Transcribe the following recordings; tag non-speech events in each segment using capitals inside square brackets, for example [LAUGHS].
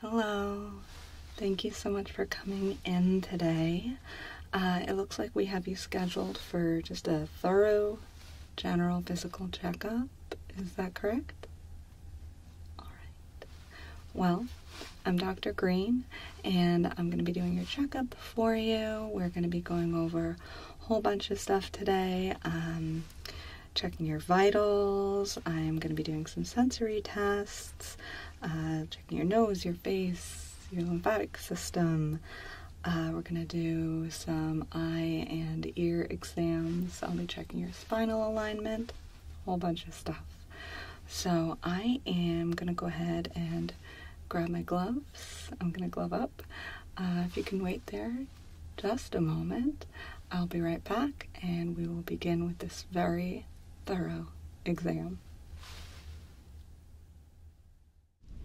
Hello, thank you so much for coming in today. Uh, it looks like we have you scheduled for just a thorough general physical checkup. Is that correct? All right. Well, I'm Dr. Green, and I'm going to be doing your checkup for you. We're going to be going over a whole bunch of stuff today. Um, checking your vitals. I'm going to be doing some sensory tests, uh, checking your nose, your face, your lymphatic system. Uh, we're going to do some eye and ear exams. I'll be checking your spinal alignment, a whole bunch of stuff. So I am going to go ahead and grab my gloves. I'm going to glove up. Uh, if you can wait there just a moment, I'll be right back and we will begin with this very thorough exam.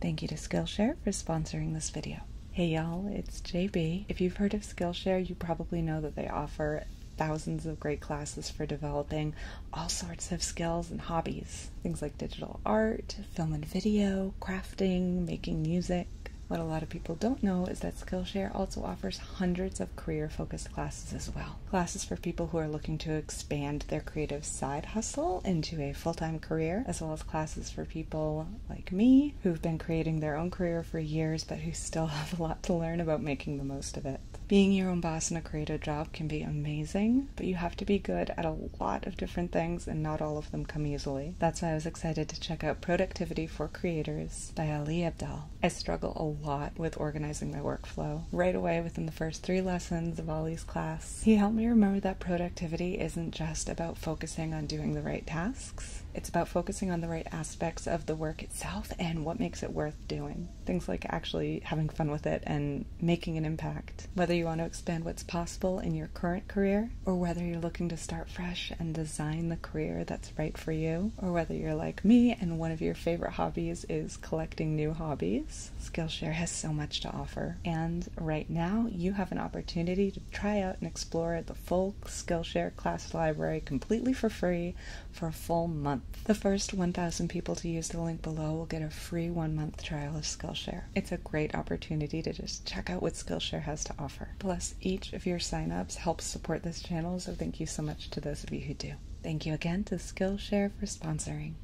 Thank you to Skillshare for sponsoring this video. Hey y'all, it's JB. If you've heard of Skillshare, you probably know that they offer thousands of great classes for developing all sorts of skills and hobbies. Things like digital art, film and video, crafting, making music. What a lot of people don't know is that Skillshare also offers hundreds of career focused classes as well. Classes for people who are looking to expand their creative side hustle into a full time career, as well as classes for people like me who've been creating their own career for years but who still [LAUGHS] have a lot to learn about making the most of it. Being your own boss in a creative job can be amazing, but you have to be good at a lot of different things and not all of them come easily. That's why I was excited to check out Productivity for Creators by Ali Abdel. I struggle a lot with organizing my workflow. Right away within the first three lessons of Ollie's class. He helped me remember that productivity isn't just about focusing on doing the right tasks, it's about focusing on the right aspects of the work itself and what makes it worth doing. Things like actually having fun with it and making an impact. Whether you want to expand what's possible in your current career, or whether you're looking to start fresh and design the career that's right for you, or whether you're like me and one of your favorite hobbies is collecting new hobbies Skillshare has so much to offer. And right now, you have an opportunity to try out and explore the full Skillshare class library completely for free for a full month. The first 1,000 people to use the link below will get a free one month trial of Skillshare. It's a great opportunity to just check out what Skillshare has to offer. Plus, each of your sign-ups helps support this channel, so thank you so much to those of you who do. Thank you again to Skillshare for sponsoring.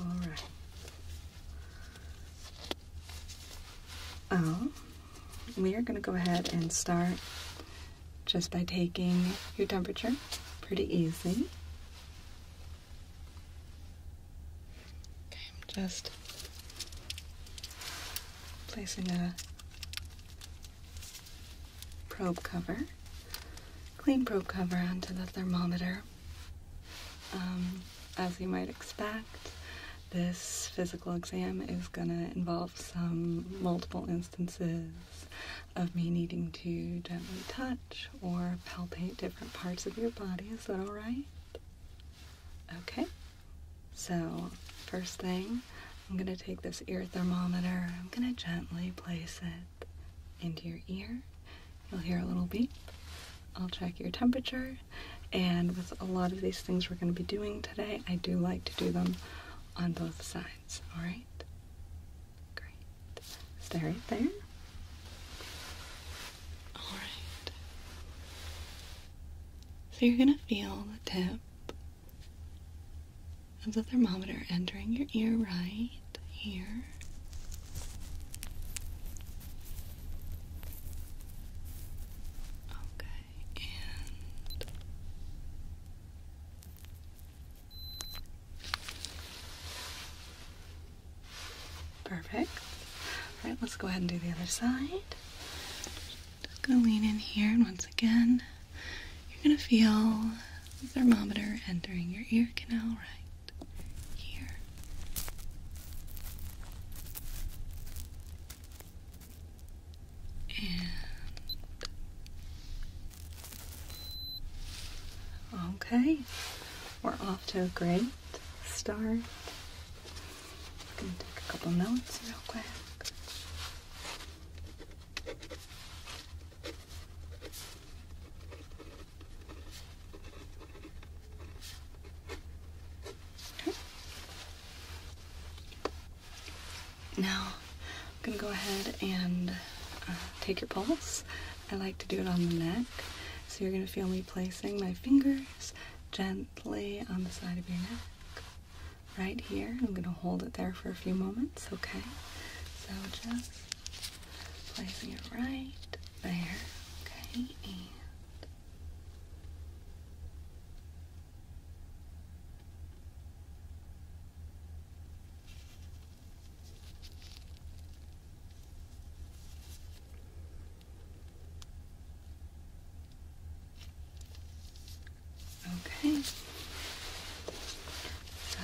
All right. Oh, we are going to go ahead and start just by taking your temperature. Pretty easily. Okay, I'm just placing a probe cover, clean probe cover onto the thermometer. Um, as you might expect, this physical exam is going to involve some multiple instances of me needing to gently touch or palpate different parts of your body. Is that all right? Okay. So, first thing, I'm going to take this ear thermometer. I'm going to gently place it into your ear. You'll hear a little beep. I'll check your temperature. And with a lot of these things we're going to be doing today, I do like to do them on both sides. All right? Great. Stay right there. All right. So you're going to feel the tip of the thermometer entering your ear right here. Okay, and perfect. All right, let's go ahead and do the other side. Just gonna lean in here, and once again, you're gonna feel the thermometer entering your ear canal right here. And okay, we're off to a great start. I'm gonna take a couple notes real quick. Now, I'm gonna go ahead and uh, take your pulse. I like to do it on the neck. So you're gonna feel me placing my fingers gently on the side of your neck right here. I'm going to hold it there for a few moments, okay? So just placing it right there, okay? And Okay. So,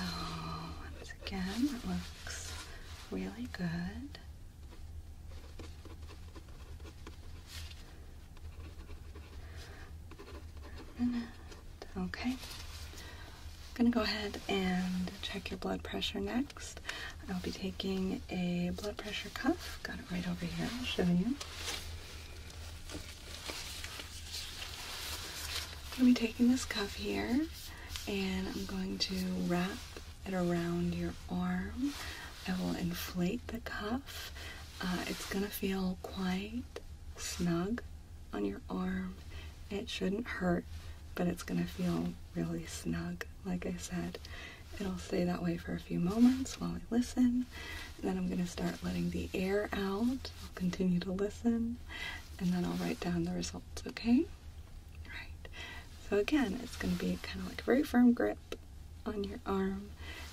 once again, looks really good. Okay. I'm going to go ahead and check your blood pressure next. I'll be taking a blood pressure cuff. Got it right over here. I'll show you. I'm going to be taking this cuff here and I'm going to wrap it around your arm. I will inflate the cuff. Uh, it's going to feel quite snug on your arm. It shouldn't hurt, but it's going to feel really snug, like I said. It'll stay that way for a few moments while I listen, then I'm going to start letting the air out. I'll continue to listen. And then I'll write down the results, okay? Right. So again, it's going to be kind of like a very firm grip on your arm.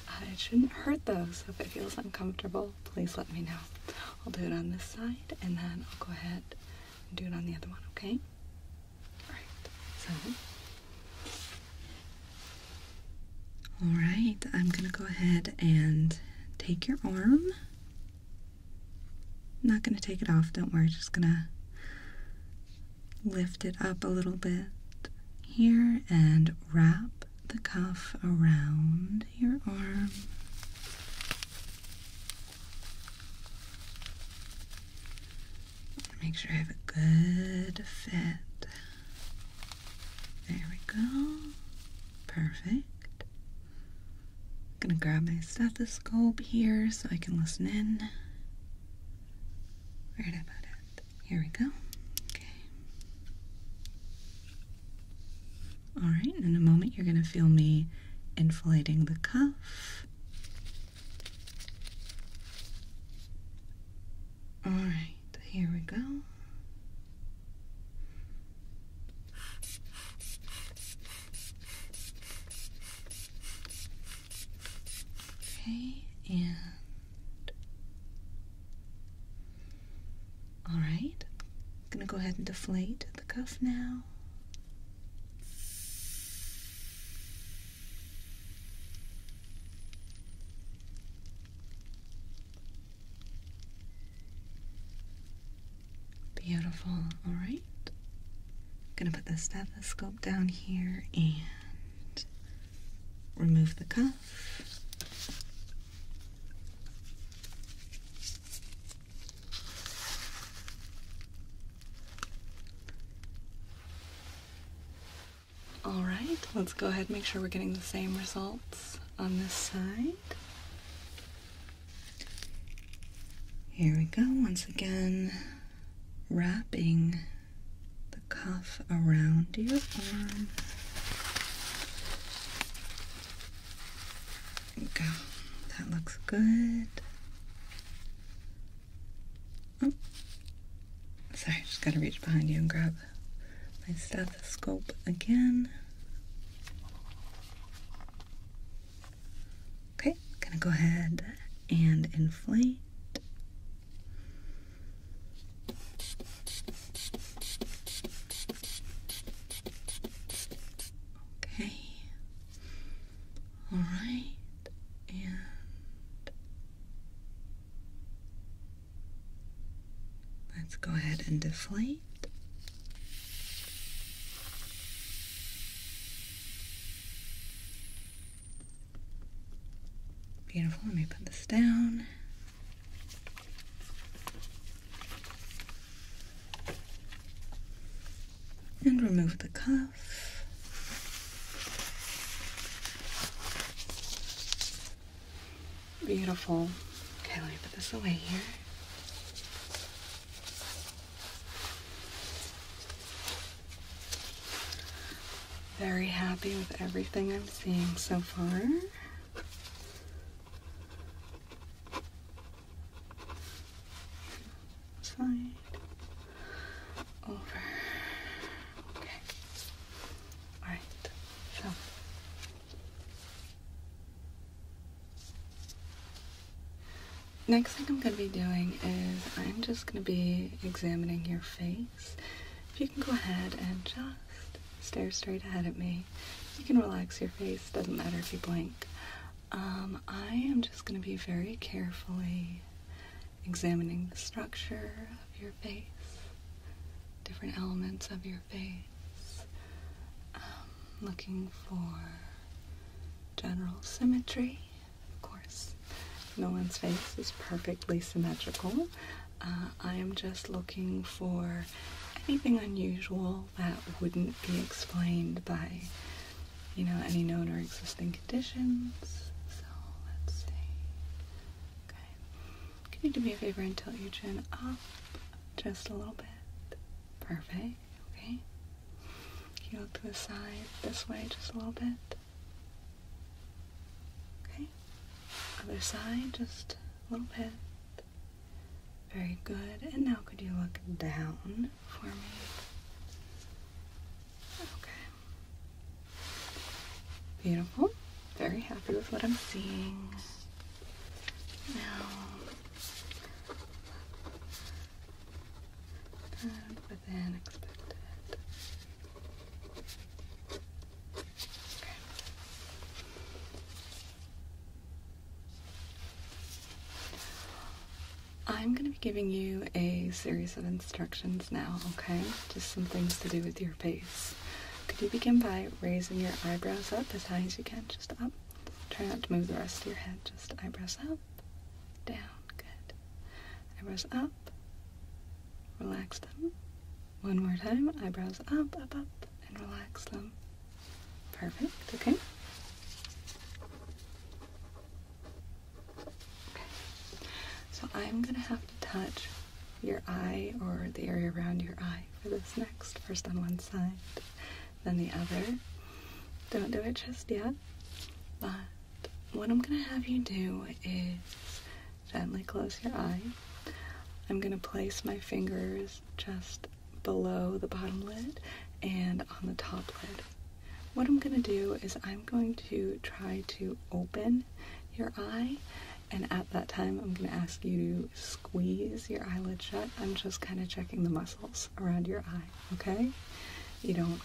Uh, it shouldn't hurt though, so if it feels uncomfortable, please let me know. I'll do it on this side, and then I'll go ahead and do it on the other one, okay? Alright, so all right, I'm going to go ahead and take your arm. not going to take it off, don't worry. Just going to lift it up a little bit here and wrap the cuff around your arm. Make sure I have a good fit. There we go. Perfect. I'm gonna grab my stethoscope here so I can listen in. Right about it. Here we go. Okay. Alright, in a moment you're gonna feel me inflating the cuff. Alright, here we go. Okay, and all right, I'm gonna go ahead and deflate the cuff now. Beautiful. All going to put the stethoscope down here and remove the cuff. All right, let's go ahead and make sure we're getting the same results on this side. Here we go once again, wrapping the cuff around your arm. There we go. That looks good. Oh, sorry, just gotta reach behind you and grab my stethoscope again. Okay, gonna go ahead and inflate. Okay. All right. And Let's go ahead and deflate. Beautiful. Let me put this down. And remove the cuff. Beautiful. Okay, let me put this away here. Very happy with everything I'm seeing so far. Side. Over. Okay. Alright. So, Next thing I'm going to be doing is I'm just going to be examining your face. If you can go ahead and just stare straight ahead at me, you can relax your face, doesn't matter if you blink. Um, I am just going to be very carefully examining the structure of your face, different elements of your your face. Um, looking for general symmetry, of course. No one's face is perfectly symmetrical. Uh, I am just looking for anything unusual that wouldn't be explained by, you know, any known or existing conditions. So let's see. Can you do me a favor and tilt your chin up just a little bit? Perfect. Okay. Can look to the side this way just a little bit? Okay. Other side just a little bit. Very good. And now could you look down for me? Okay. Beautiful. Very happy with what I'm seeing. Now, and I'm going to be giving you a series of instructions now, okay? Just some things to do with your face. Could you begin by raising your eyebrows up as high as you can? Just up. Try not to move the rest of your head. Just eyebrows up, down. Good. Eyebrows up. Relax them. One more time. Eyebrows up, up, up, and relax them. Perfect. Okay. Okay. So I'm gonna have to touch your eye or the area around your eye for this next. First on one side, then the other. Don't do it just yet, but what I'm going to have you do is gently close your eye. I'm going to place my fingers just below the bottom lid and on the top lid. What I'm going to do is I'm going to try to open your eye and at that time, I'm going to ask you to squeeze your eyelid shut. I'm just kind of checking the muscles around your eye, okay? You don't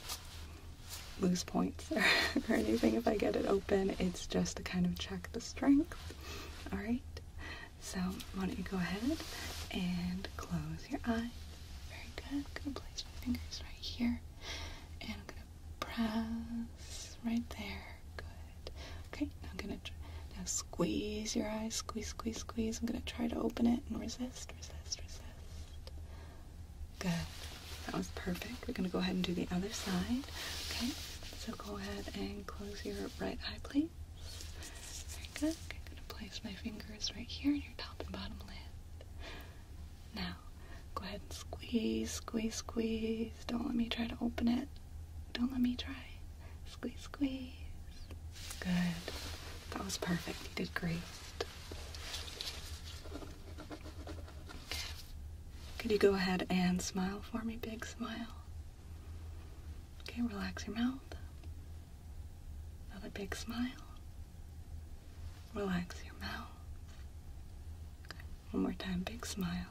lose points [LAUGHS] or, anything if I get it open. It's just to kind of check the strength, all right? So, why don't you go ahead and close your eye? Very good. I'm going to place my fingers right here and I'm going to press right there. Good. Okay, now I'm gonna now squeeze your eyes, squeeze, squeeze, squeeze. I'm gonna try to open it and resist, resist, resist. Good. That was perfect. We're gonna go ahead and do the other side. Okay, so go ahead and close your right eye, please. Very good. I'm gonna place my fingers right here in your top and bottom lid. Now, go ahead and squeeze, squeeze, squeeze. Don't let me try to open it. Don't let me try. Squeeze, squeeze. Good. That was perfect. You did great. Okay. Could you go ahead and smile for me? Big smile. Okay, relax your mouth. Another big smile. Relax your mouth. Okay. One more time. Big smile.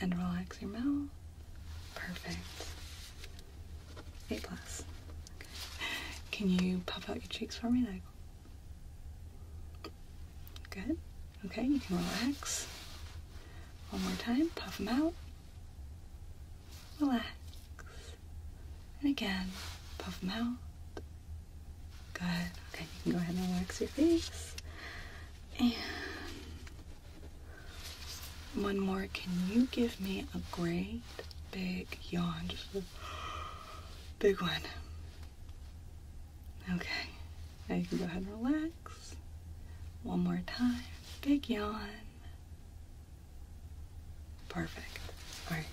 And relax your mouth. Perfect. A plus. Can you puff out your cheeks for me? There Good. Okay, you can relax. One more time. Puff them out. Relax. And again, puff them out. Good. Okay, you can go ahead and relax your face. And one more. Can you give me a great big yawn? Just a big one. Okay. Now you can go ahead and relax. One more time. Big yawn. Perfect. All right.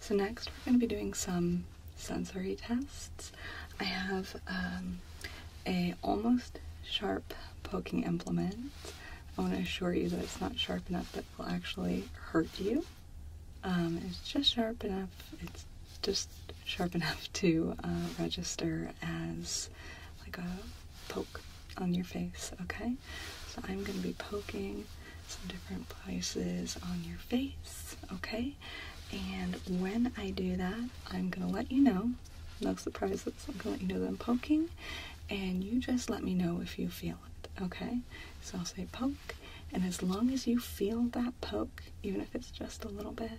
So next we're going to be doing some sensory tests. I have um, a almost sharp poking implement. I want to assure you that it's not sharp enough that will actually hurt you. Um, it's just sharp enough. It's just sharp enough [LAUGHS] to uh, register as like a poke on your face. Okay. So I'm going to be poking some different places on your face, okay? And when I do that, I'm going to let you know. No surprises. I'm going to let you know that I'm poking, and you just let me know if you feel it, okay? So I'll say poke, and as long as you feel that poke, even if it's just a little bit,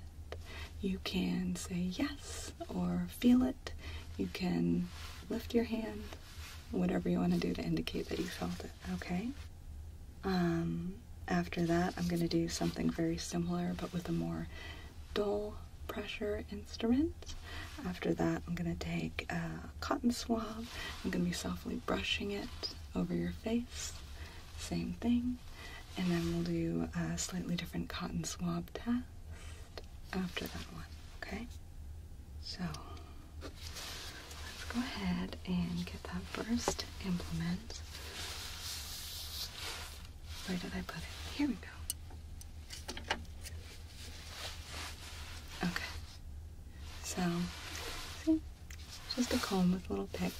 you can say yes or feel it. You can lift your hand whatever you want to do to indicate that you felt it, okay? Um, after that, I'm going to do something very similar but with a more dull pressure instrument. After that, I'm going to take a cotton swab. I'm going to be softly brushing it over your face. Same thing. And then we'll do a slightly different cotton swab test after that one, okay? So let's go ahead and get that first implement. Where did I put it? Here we go. Okay. So, see? Just a comb with a little pick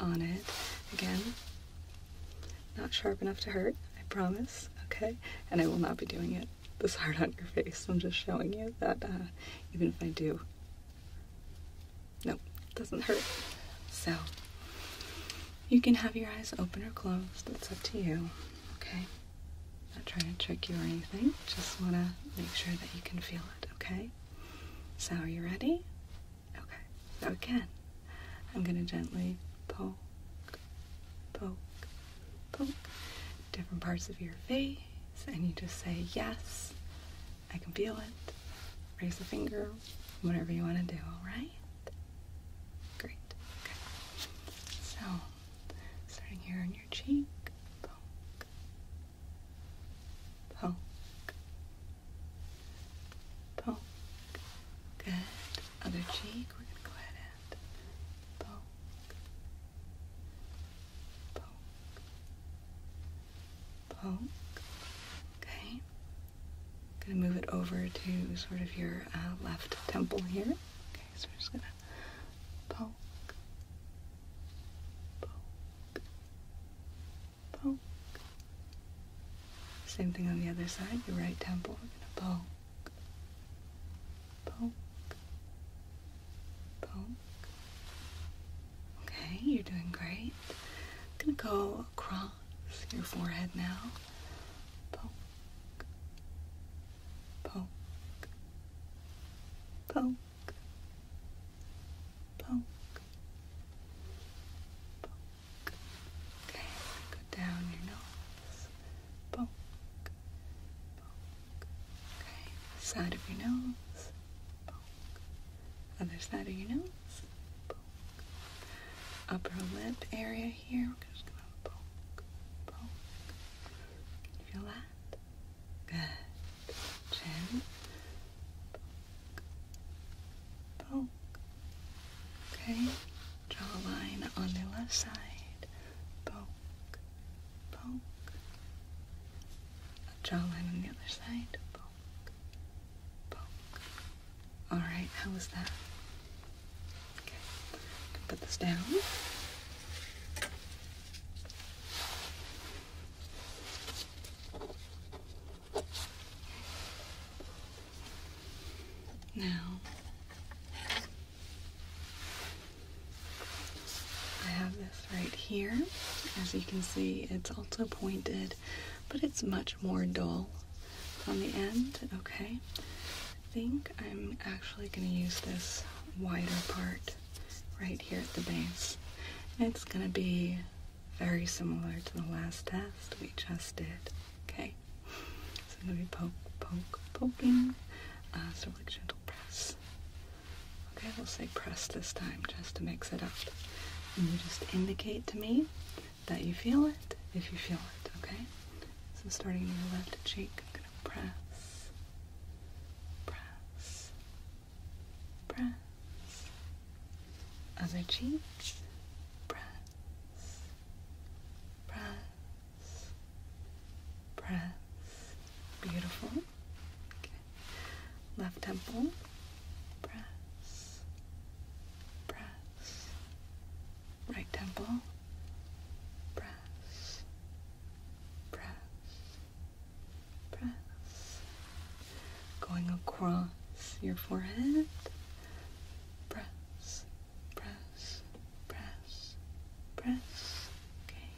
on it. Again, not sharp enough to hurt, I promise. Okay? And I will not be doing it this hard on your face. I'm just showing you that uh, even if I do, no, it doesn't hurt. So you can have your eyes open or closed. That's up to you. Okay. not trying to trick you or anything. Just want to make sure that you can feel it. Okay. So are you ready? Okay. So again, I'm gonna gently poke, poke, poke different parts of your face, and you just say, Yes, I can feel it. Raise a finger, whatever you want to do, all right? Great. Okay. So, starting here on your cheek, poke, poke, poke. Good. Other cheek, we're going to go ahead poke, Okay. gonna move it over to sort of your uh, left temple here. Okay, so we're just gonna poke, poke, poke. Same thing on the other side, your right temple. We're gonna poke poke, poke. Okay, you're doing great. I'm gonna go across your forehead now. Poke, poke, poke, poke, poke. Okay, go down your nose bonk, bonk. side of your nose, bonk. Other side of your nose, Upper lip area here, you feel that? Good. Chin, bonk, bonk. Okay, jawline on the left side, poke. A jawline on the other side, poke, poke. All right, how was that? Okay, I can put this down. Now, I have this right here. As you can see, it's also pointed, but it's much more dull on the end. Okay, I think I'm actually going to use this wider part right here at the base. It's going to be very similar to the last test we just did. Okay, so I'm going to be poking, poking, poking. Uh, so press. Okay, we'll say press this time just to mix it up. And you just indicate to me that you feel it if you feel it, okay? So starting your left cheek, I'm gonna press, press, press. Other cheek, press, press breath. Beautiful. Left temple. Press. Press. Right temple. Press. Press. Press. Going across your forehead. Press. Press press, press, okay,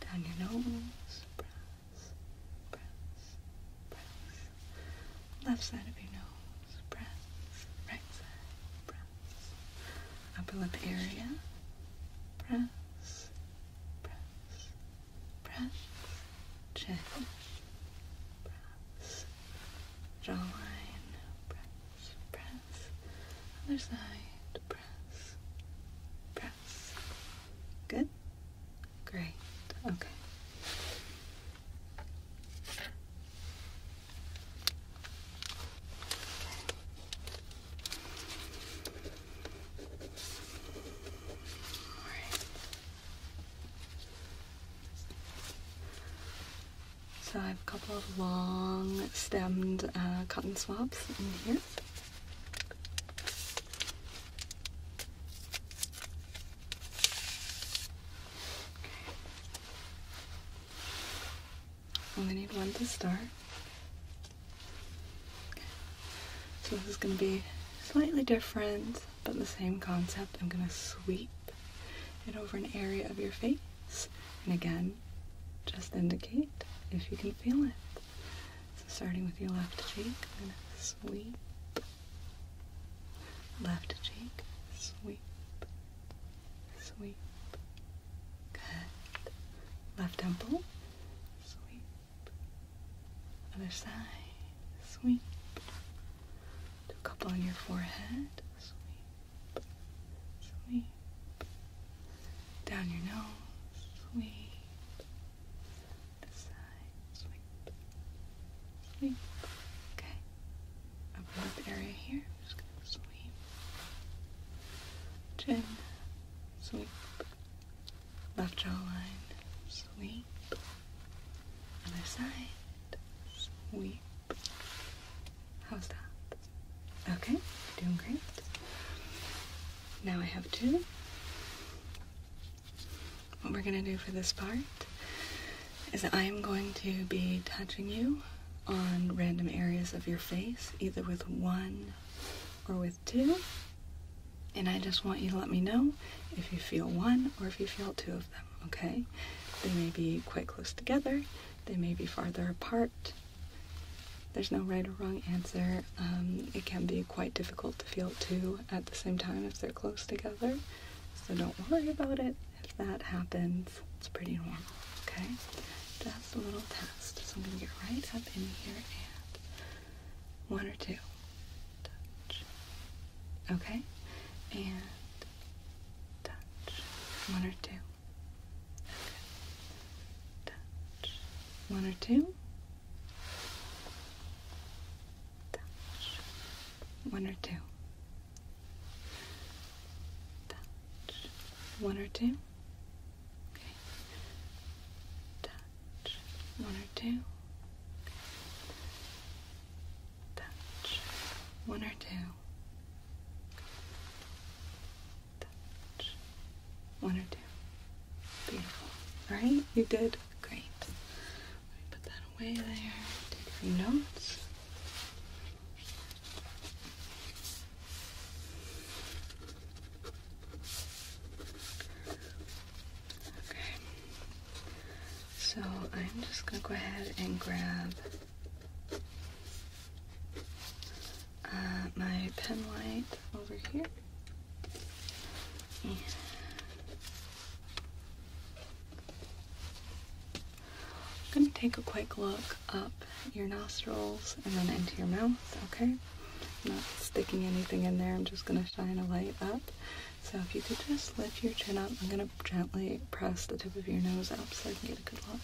down your nose, press, press, press, left side of your nose, press, right side, press, upper lip area, press, press, press, chin, press, jawline, press press. Other side, press, press. Good? Great. Okay. All right. So I have a couple of long stemmed uh, cotton swabs in here. I'm Only need one to start. So this is going to be slightly different, but the same concept. I'm going to sweep it over an area of your face. And again, just indicate if you can feel it. So starting with your left cheek, I'm sweep. Left cheek, sweep, sweep. Good. Left temple, sweep. Other side, sweep. Do a couple on your forehead, sweep sweep down your nose, sweep this side, sweep, Okay, open up area here. just gonna sweep chin, sweep left jawline, sweep other side, sweep. How's that? Okay, doing great. Now I have two. What we're gonna do for this part is I am going to be touching you on random areas of your face, either with one or with two. And I just want you to let me know if you feel one or if you feel two of them, okay? They may be quite close together, they may be farther apart, there's no right or wrong answer. Um, it can be quite difficult to feel two at the same time if they're close together. So don't worry about it. If that happens, it's pretty normal, okay? that's a little test. So I'm going to get right up in here and one or two. Touch. Okay? And touch. One or two. Good. Touch. One or two. One or two. One or two. One or two. One or two touch. One or two. Beautiful. Right? You did great. put that away there. Take a notes. Okay. So I'm just gonna go ahead and grab uh, my pen light over here. I'm going to take a quick look up your nostrils and then into your mouth, okay? not sticking anything in there, I'm just going to shine a light up. So if you could just lift your chin up, I'm going to gently press the tip of your nose up so I can get a good look,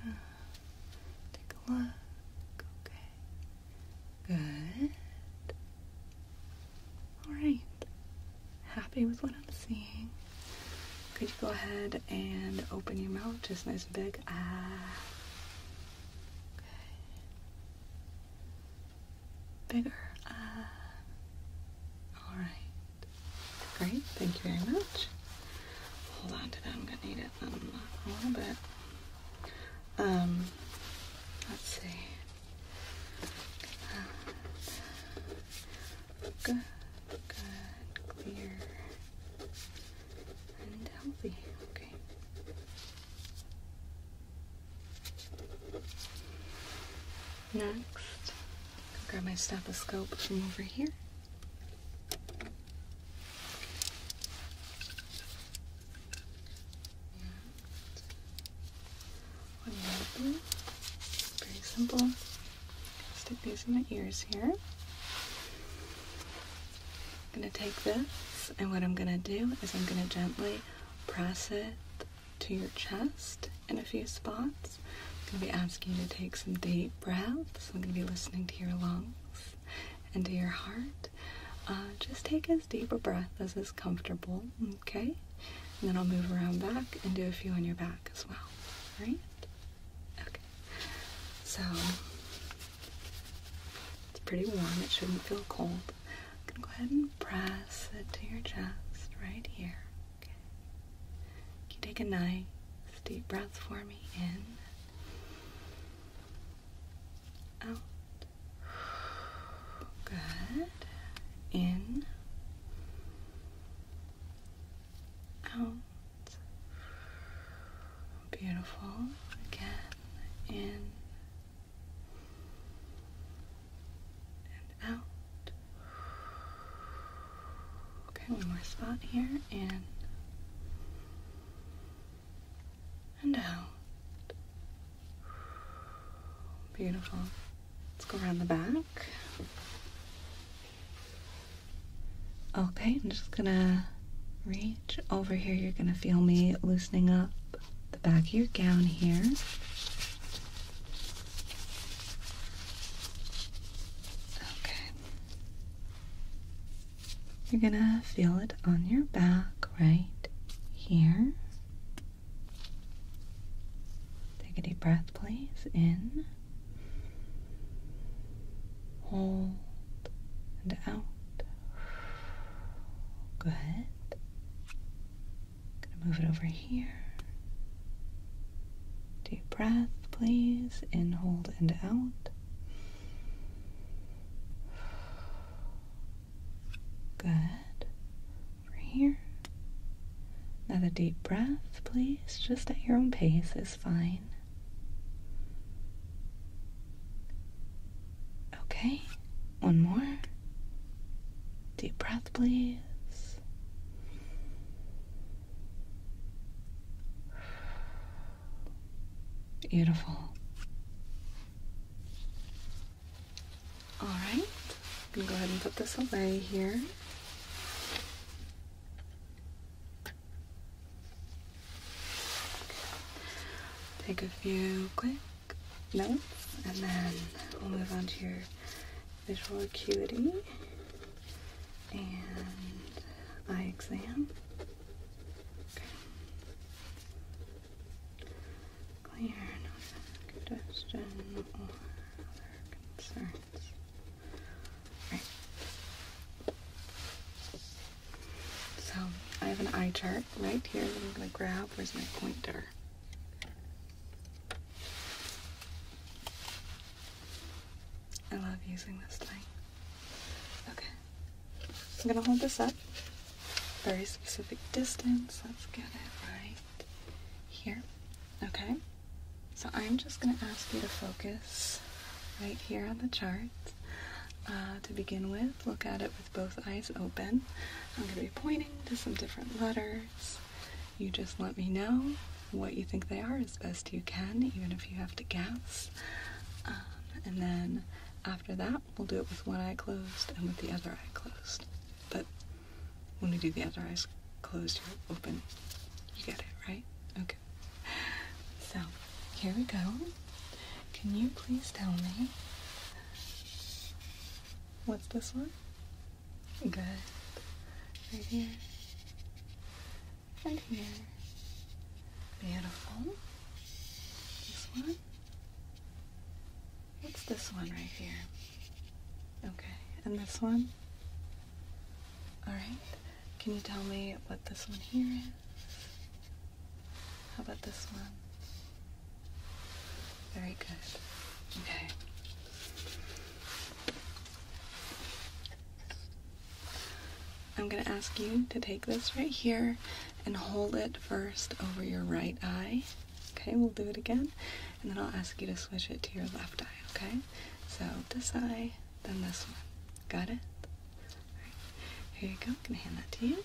okay? Take a look. Okay. Good. Alright. Happy with what I'm seeing. Could you go ahead and open your mouth just nice and big? Ah. Okay. Bigger. Ah. Alright. Great, thank you very much. Hold on to that, I'm gonna need it in a little bit. Um, let's see. Uh, good, good, clear, and healthy. Okay. Next, grab my stethoscope from over here. Very simple. Stick these in the ears here. I'm going to take this, and what I'm going to do is I'm going to gently press it to your chest in a few spots. I'm going to be asking you to take some deep breaths. So I'm going to be listening to your lungs and to your heart. Uh, just take as deep a breath as is comfortable, okay? And then I'll move around back and do a few on your back as well, right? Okay. So it's pretty warm. It shouldn't feel cold. I'm going to go ahead and press it to your chest right here. Okay you take a nice deep breath for me? In. Out. Good. In. Out. Beautiful. Again. In. And out. Okay, one more spot here, in and out. Beautiful. Let's go around the back. Okay, I'm just gonna reach over here. You're gonna feel me loosening up the back of your gown here. Okay, you're gonna feel it on your back right here. Take a deep breath, please. In, hold, and out. Good. Gonna move it over here. Deep breath, please. In, hold, and out. Good. Over here. Another deep breath, please. Just at your own pace is fine. Okay. One more. Deep breath, please. Beautiful. All right, I'm gonna go ahead and put this away here. Take a few quick notes and then we'll move on to your visual acuity and eye exam. Okay. Clear, no congestion or other concerns. Right. So I have an eye chart right here I'm gonna grab. Where's my pointer? I love using this thing. Okay. I'm gonna hold this up. Very specific distance. Let's get it right here. Okay. So I'm just gonna ask you to focus right here on the chart. Uh, to begin with, look at it with both eyes open. I'm going to be pointing to some different letters. You just let me know what you think they are as best you can, even if you have to guess. Um, and then after that, we'll do it with one eye closed and with the other eye closed. But when we do the other eyes closed, you're open. You get it, right? Okay. So here we go. Can you please tell me what's this one? Good. Right here and here. Beautiful. This one. What's this one right here? Okay, and this one? Alright, can you tell me what this one here is? How about this one? Very good. Okay. I'm going to ask you to take this right here and hold it first over your right eye. Okay, we'll do it again. And then I'll ask you to switch it to your left eye, okay? So this eye, then this one. Got it? here you go. I'm going to hand that to you.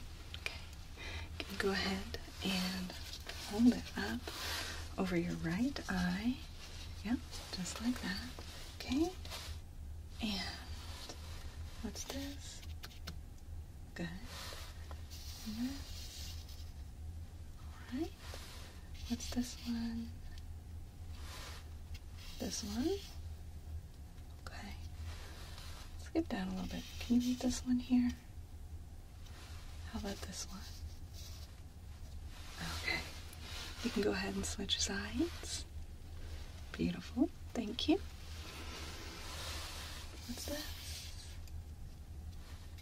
Okay, you can go ahead and hold it up over your right eye. Yep, just like that. Okay, and what's this? Good. Mm-hmm. All right. What's this one? This one. Okay. let down a little bit. Can you read this one here? How about this one? Okay. You can go ahead and switch sides. Beautiful. Thank you. What's this?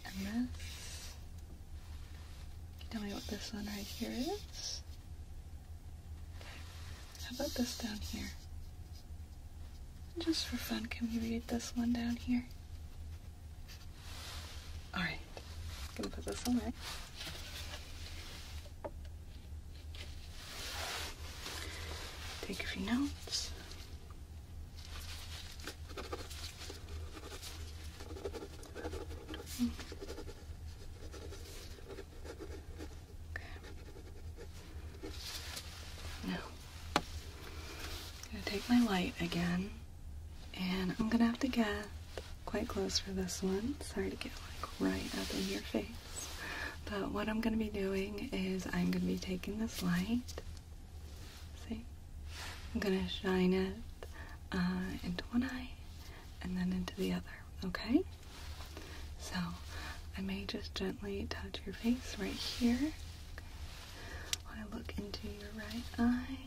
And this. tell me what this one right here is? How about this down here? Just for fun, can we read this one down here? Alright. Gonna put this away. Take a few notes. Okay. Now, I'm gonna take my light again, and I'm gonna have to get quite close for this one. Sorry to get like right up in your face. But what I'm going to be doing is I'm going to be taking this light. See? I'm going to shine it uh, into one eye and then into the other. Okay? So I may just gently touch your face right here. Okay. When I look into your right eye,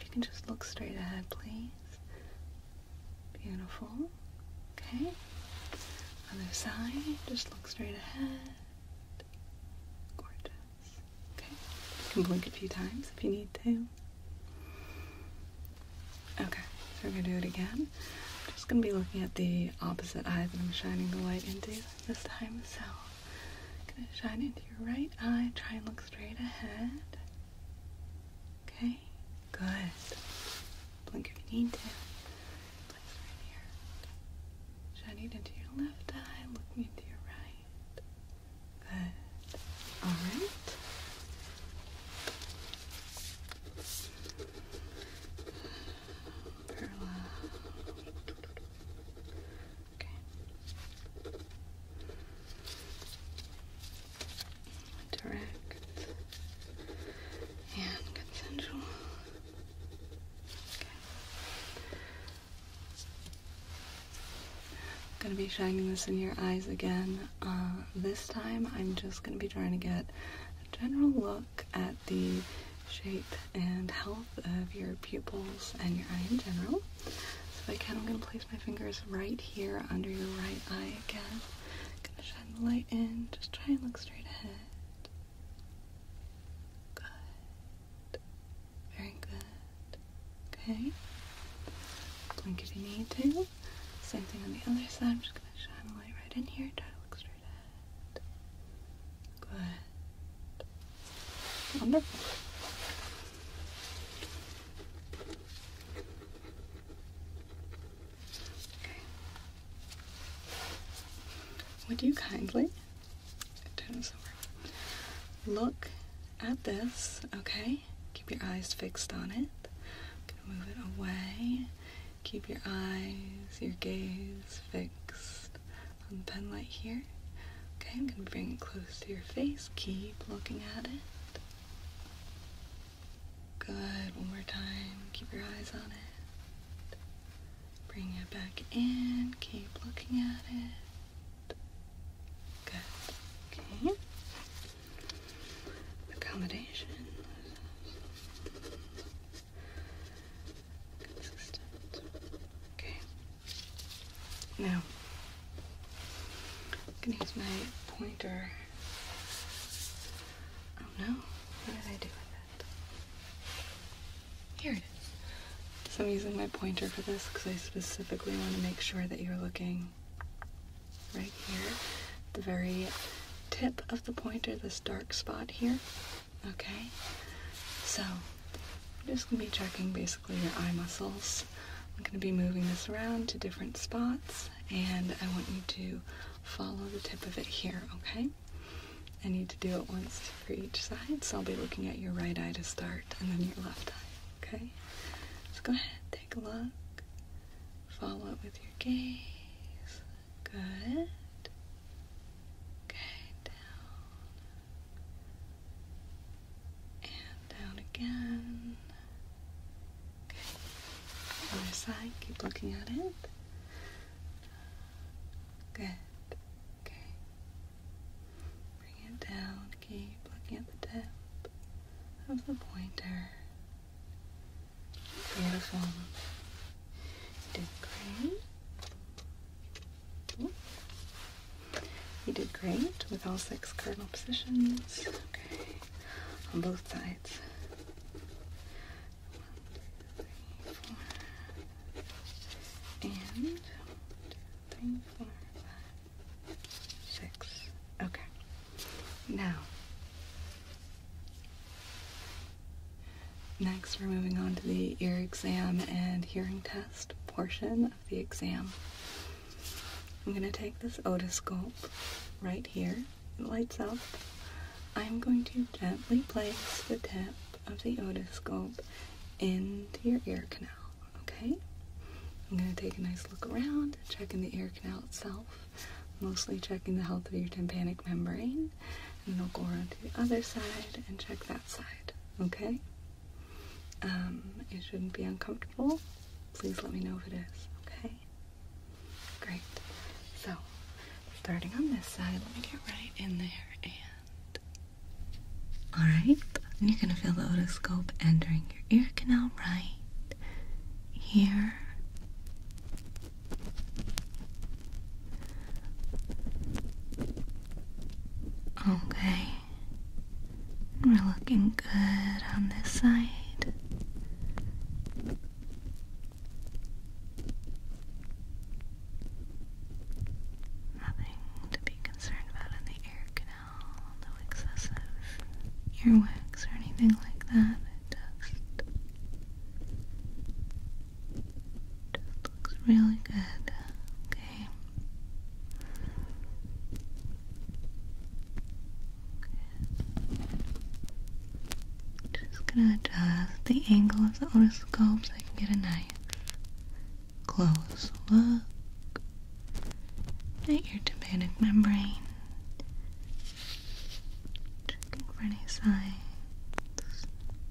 if you can just look straight ahead, please. Beautiful. Okay. Other side, just look straight ahead. Gorgeous. Okay. You can blink a few times if you need to. Okay, so we're gonna do it again. I'm just gonna be looking at the opposite eye that I'm shining the light into this time, so I'm gonna shine into your right eye, try and look straight ahead. Okay, good. Blink if you need to. right here. Shining into your left eye, looking into your right. Good. Alright. Okay direct and consensual. Okay. I'm gonna be shining this in your eyes again. Uh, this time I'm just gonna be trying to get a general look at the shape and health of your pupils and your eye in general. So I kind of am gonna place my fingers right here under your right eye again. Gonna shine the light in. Just try and look straight ahead. Good. Very good. Okay. Blink if you need to. Same thing on the other side. I'm just gonna shine the light right in here. Try to look straight ahead. Good. Wonderful. Would you kindly Look at this, okay? Keep your eyes fixed on it. move it away. Keep your eyes, your gaze fixed on the pen light here. Okay, I'm gonna bring it close to your face. Keep looking at it. Good. One more time. Keep your eyes on it. Bring it back in. Keep looking at it. Good. Okay. Accommodation. Consistent. Okay. Now, I'm going to use my pointer. Oh no, what did I do with it? Here it is. I'm using my pointer for this because I specifically want to make sure that you're looking right here. The very tip of the pointer, this dark spot here. Okay? So, I'm just going to be checking basically your eye muscles I'm going to be moving this around to different spots and I want you to follow the tip of it here, okay? I need to do it once for each side, so I'll be looking at your right eye to start and then your left eye, okay? So go ahead, take a look, follow it with your gaze. Good. Okay, down. And down again. Okay. Other side, keep looking at it. Good. Okay. Bring it down. Keep looking at the tip of the pointer. Beautiful. You did great. You did great with all six cardinal positions. Okay. On both sides sides. Okay. Now, next we're moving on to the ear exam and hearing test portion of the exam. I'm going to take this otoscope right here. It lights up. I'm going to gently place the tip of the otoscope into your ear canal, okay? I'm going to take a nice look around, checking the ear canal itself, mostly checking the health of your tympanic membrane, and then I'll go around to the other side and check that side, okay? Um, it shouldn't be uncomfortable. Please let me know if it is, okay? Great. So, starting on this side, let me get right in there and. Alright, you're gonna feel the otoscope entering your ear canal right here. Okay. We're looking good on this side. Nothing to be concerned about in the ear canal, no excessive earwax or anything like that. It just, looks really good. Okay. Just gonna adjust the angle of the otoscope so I can get a nice close look at your tympanic membrane. Checking for any signs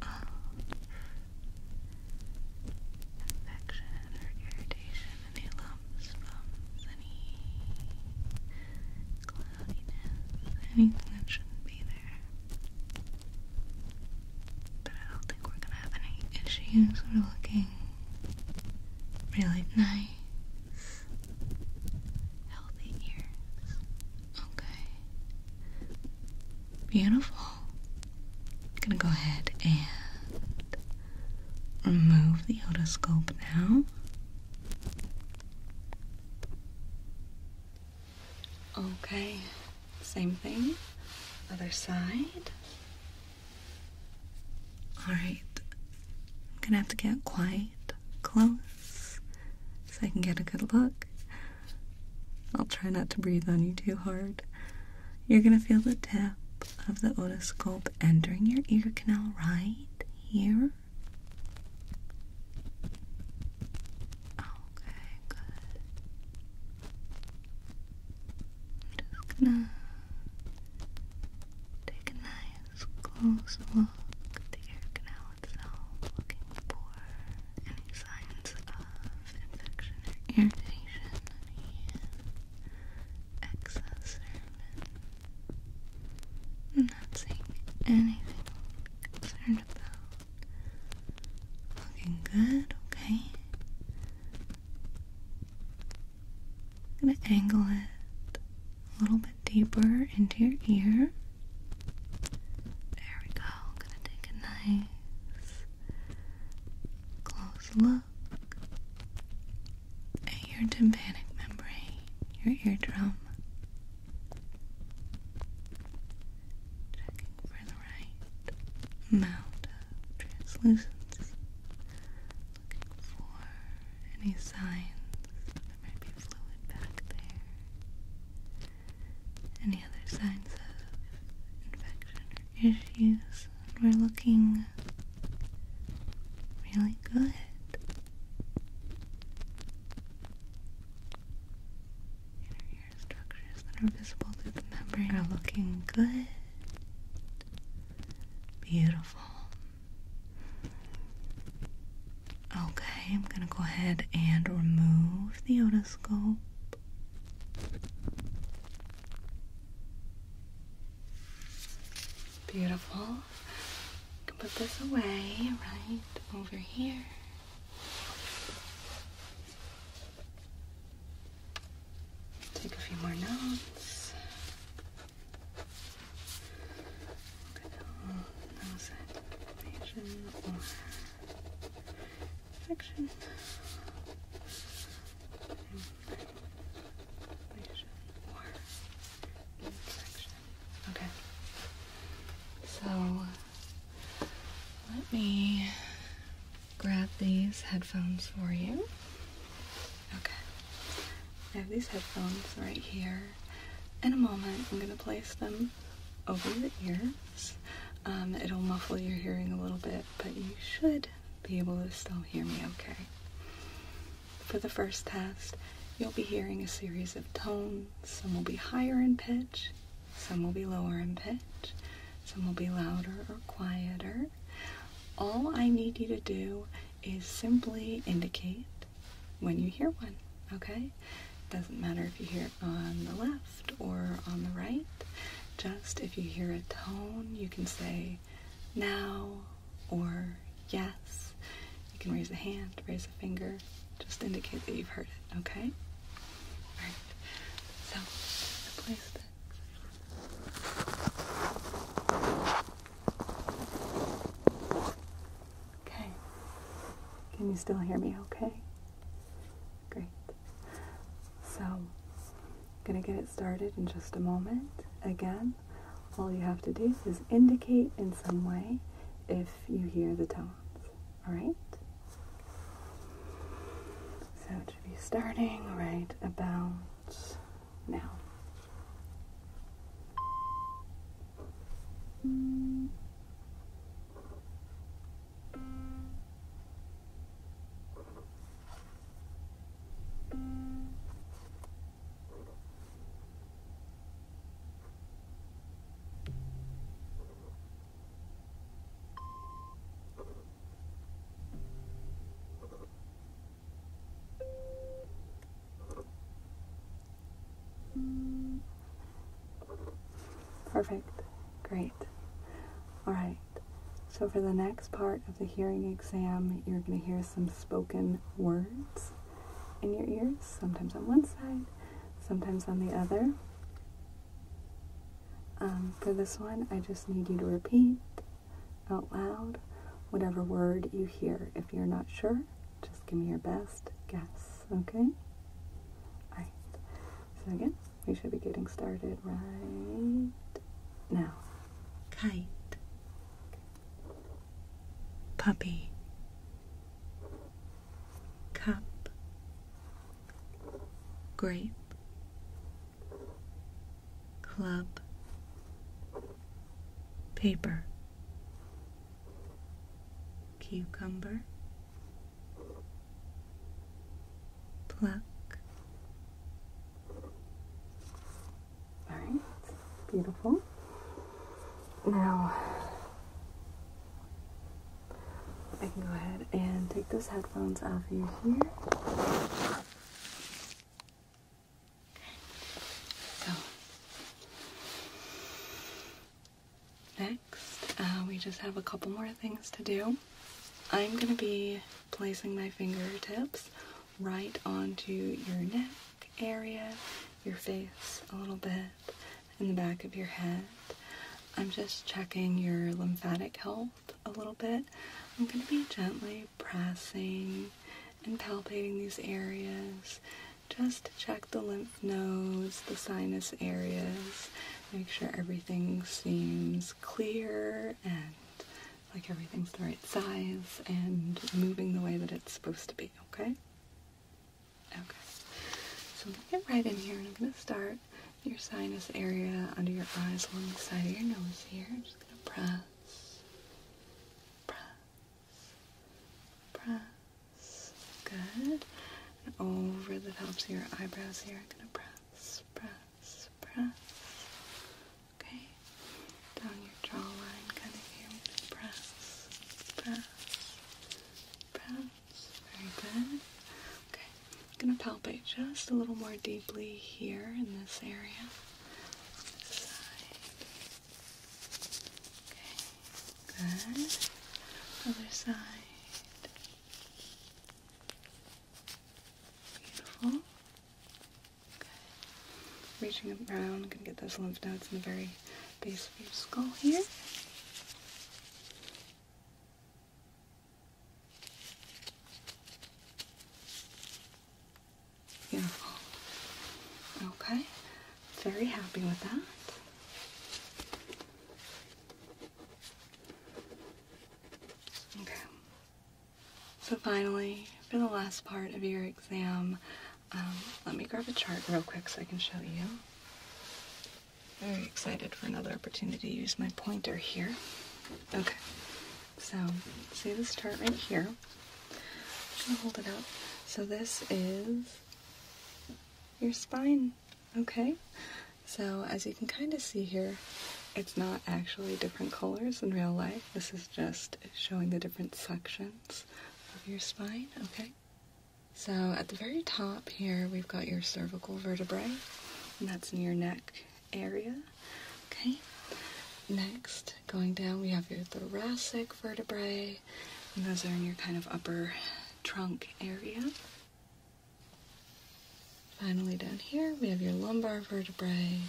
of infection or irritation any lumps, bumps, any cloudiness, anything that shouldn't be there. But I don't think we're gonna have any issues. We're looking really nice, healthy ears. Okay. Beautiful. I'm gonna go ahead and remove the otoscope now. Okay, same thing. Other side. All right. I'm gonna have to get quite close so I can get a good look. I'll try not to breathe on you too hard. You're gonna feel the tip of the otoscope entering your ear canal, right? here. Okay, good. I'm just gonna take a nice close look at the ear canal itself, looking for any signs of infection or irritation, any excess sermon. I'm not seeing anything concerned about. Looking good, okay. I'm gonna angle it a little bit deeper into your ear. There we go. gonna take a nice close look your tympanic membrane, your eardrum. Checking for the right amount of Looking for any signs there might be fluid back there. Any other signs of infection or issues? we're looking really good. Inner ear structures that are visible through the membrane are looking good. Beautiful. Okay, I'm going to go ahead and remove the otoscope. Beautiful. can put this away right over here. Take a few more notes. Nose inflammation or infection. Okay. So let me grab these headphones for you. Okay. I have these headphones right here. In a moment, I'm going to place them over your ears. Um, it'll muffle your hearing a little bit, but you should be able to still hear me okay. For the first test, you'll be hearing a series of tones. Some will be higher in pitch, some will be lower in pitch, some will be louder or quieter. All I need you to do is simply indicate when you hear one, okay? Doesn't matter if you hear it on the left or on the right. Just if you hear a tone, you can say, now or yes. You can raise a hand, raise a finger, just indicate that you've heard it, okay? Alright, so the Okay. Can you still hear me okay? Great. So, I'm going to get it started in just a moment. Again, all you have to do is indicate in some way if you hear the tones. Alright? So it should be starting right about now. Perfect. Great. All right. So for the next part of the hearing exam, you're going to hear some spoken words in your ears, sometimes on one side, sometimes on the other. Um, for this one, I just need you to repeat out loud whatever word you hear. If you're not sure, just give me your best guess, okay? Alright, so again, we should be getting started right now. Kite puppy, cup, grape, club, paper, cucumber, pluck, all right, beautiful. Now, I can go ahead and take those headphones off you here. So, next, uh, we just have a couple more things to do. I'm going to be placing my fingertips right onto your neck area, your face a little bit, in the back of your head. I'm just checking your lymphatic health a little bit. I'm going to be gently pressing and palpating these areas just to check the lymph nodes, the sinus areas, make sure everything seems clear and like everything's the right size and moving the way that it's supposed to be okay? Okay. So I'm going to get right in here and I'm going to start your sinus area under your eyes along the side of your nose here. just going to press, press, press. Good. over the tops of your eyebrows here, I'm going to press, press, press, Okay? Down your jawline, kind of here. Press, press, press. Very good. Okay. I'm going to palpate just a little more deeply here in this area. On this side. Okay. Good. Other side. Beautiful. Okay. Reaching up around, gonna get those lymph nodes in the very base of your skull here. Beautiful. Okay. Very happy with that. Okay. So finally, for the last part of your exam, um, let me grab a chart real quick so I can show you. Very excited for another opportunity to use my pointer here. Okay, so see this chart right here? I'm gonna hold it up. So this is your spine, okay? So as you can kind of see here, it's not actually different colors in real life. This is just showing the different sections of your spine, okay? So at the very top here, we've got your cervical vertebrae, and that's in your neck area, okay? Next, going down, we have your thoracic vertebrae, and those are in your kind of upper trunk area. Finally, down here, we have your lumbar vertebrae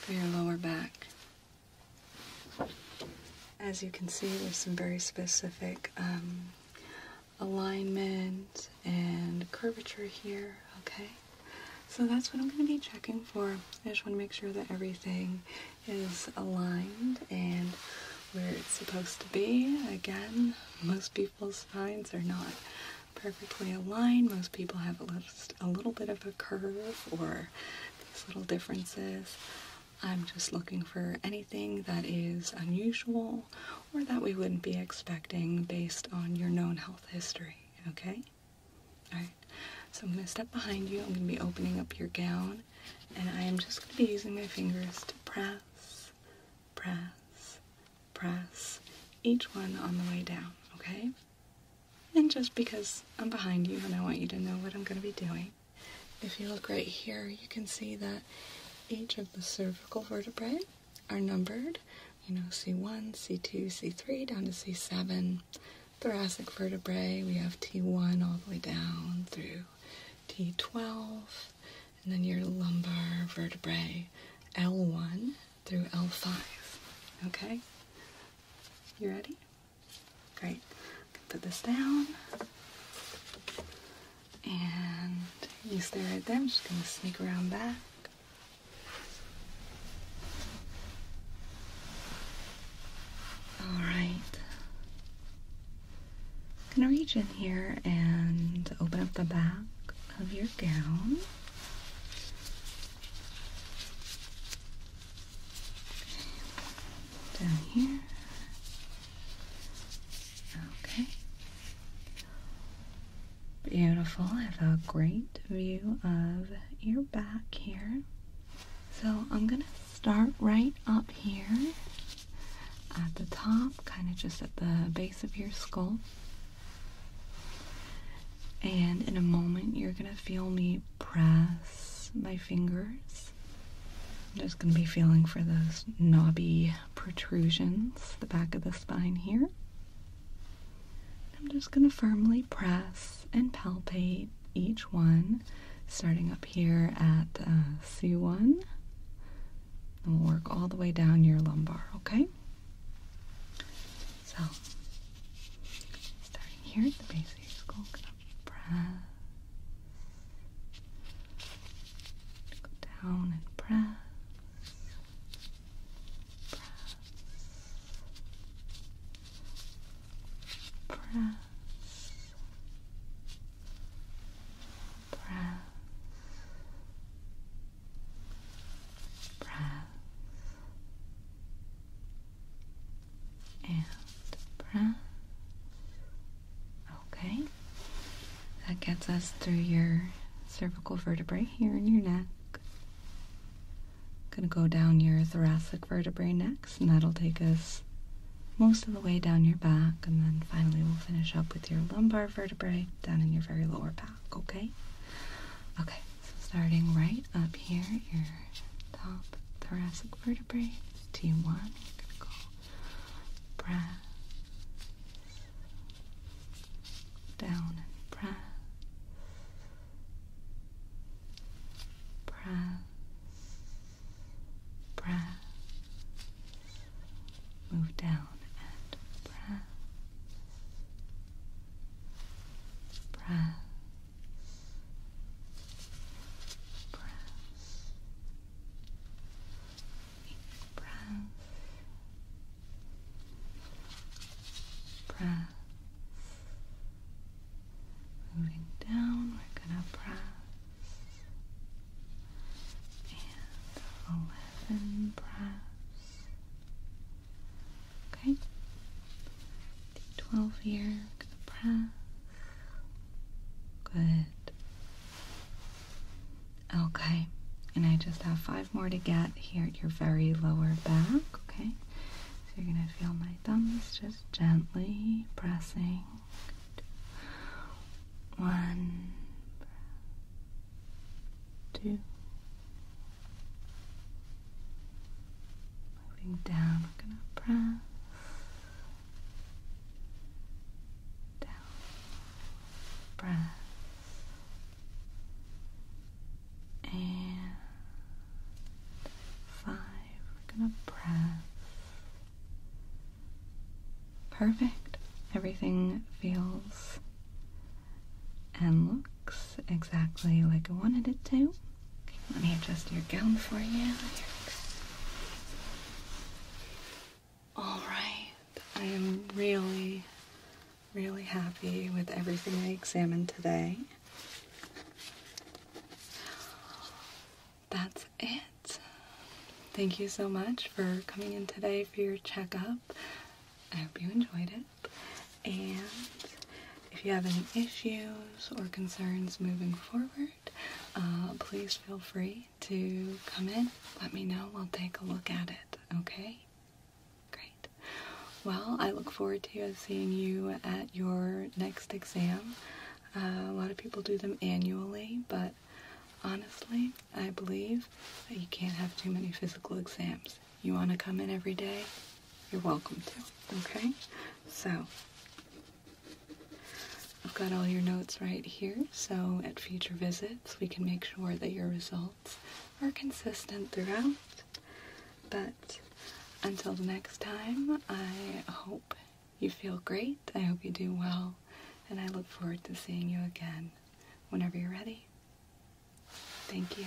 for your lower back as you can see, there's some very specific um, alignment and curvature here, okay? So that's what I'm going to be checking for. I just want to make sure that everything is aligned and where it's supposed to be. Again, most people's spines are not perfectly aligned. Most people have a little, a little bit of a curve or these little differences. I'm just looking for anything that is unusual or that we wouldn't be expecting based on your known health history, okay? Alright, so I'm going to step behind you. I'm going to be opening up your gown and I am just going to be using my fingers to press, press, press each one on the way down, okay? And just because I'm behind you and I want you to know what I'm going to be doing, if you look right here, you can see that each of the cervical vertebrae are numbered. You know, C1, C2, C3, down to C7. Thoracic vertebrae, we have T1 all the way down through T12. And then your lumbar vertebrae, L1 through L5. Okay? You ready? Great. Put this down. And you stay right there. I'm just going to sneak around back. Alright. I'm going to reach in here and open up the back of your gown. Down here. Okay. Beautiful. I have a great view of your back here. So I'm going to start right up here at the top, kind of just at the base of your skull. And in a moment, you're going to feel me press my fingers. I'm just going to be feeling for those knobby protrusions, the back of the spine here. I'm just going to firmly press and palpate each one, starting up here at uh, C1. And we'll work all the way down your lumbar, okay? So Starting here at the base of your skull, press. Go down and press. Press. Press. Press. Press and Okay, that gets us through your cervical vertebrae here in your neck. Gonna go down your thoracic vertebrae next, and that'll take us most of the way down your back, and then finally we'll finish up with your lumbar vertebrae down in your very lower back, okay? Okay, so starting right up here, your top thoracic vertebrae, T1, critical, brass, down and brass, brass, brass, move down and brass, brass breath, breath, breath. Moving down, we're gonna press and eleven breaths. Okay, 12 here, look at breath. Good. Okay, and I just have five more to get here at your very lower back, okay? So you're gonna feel my thumbs just gently pressing. One, two. Moving down, we're gonna press down, press and five. We're gonna press. Perfect. Everything feels and looks exactly like I wanted it to let me adjust your gown for you. All right, I am really, really happy with everything I examined today. That's it. Thank you so much for coming in today for your checkup. I hope you enjoyed it. And if you have any issues or concerns moving forward, uh, please feel free to come in. Let me know. We'll take a look at it. Okay? Great. Well, I look forward to seeing you at your next exam. Uh, a lot of people do them annually, but honestly, I believe that you can't have too many physical exams. You want to come in every day? You're welcome to. Okay? So, I've got all your notes right here, so at future visits we can make sure that your results are consistent throughout. But until the next time, I hope you feel great. I hope you do well, and I look forward to seeing you again whenever you're ready. Thank you.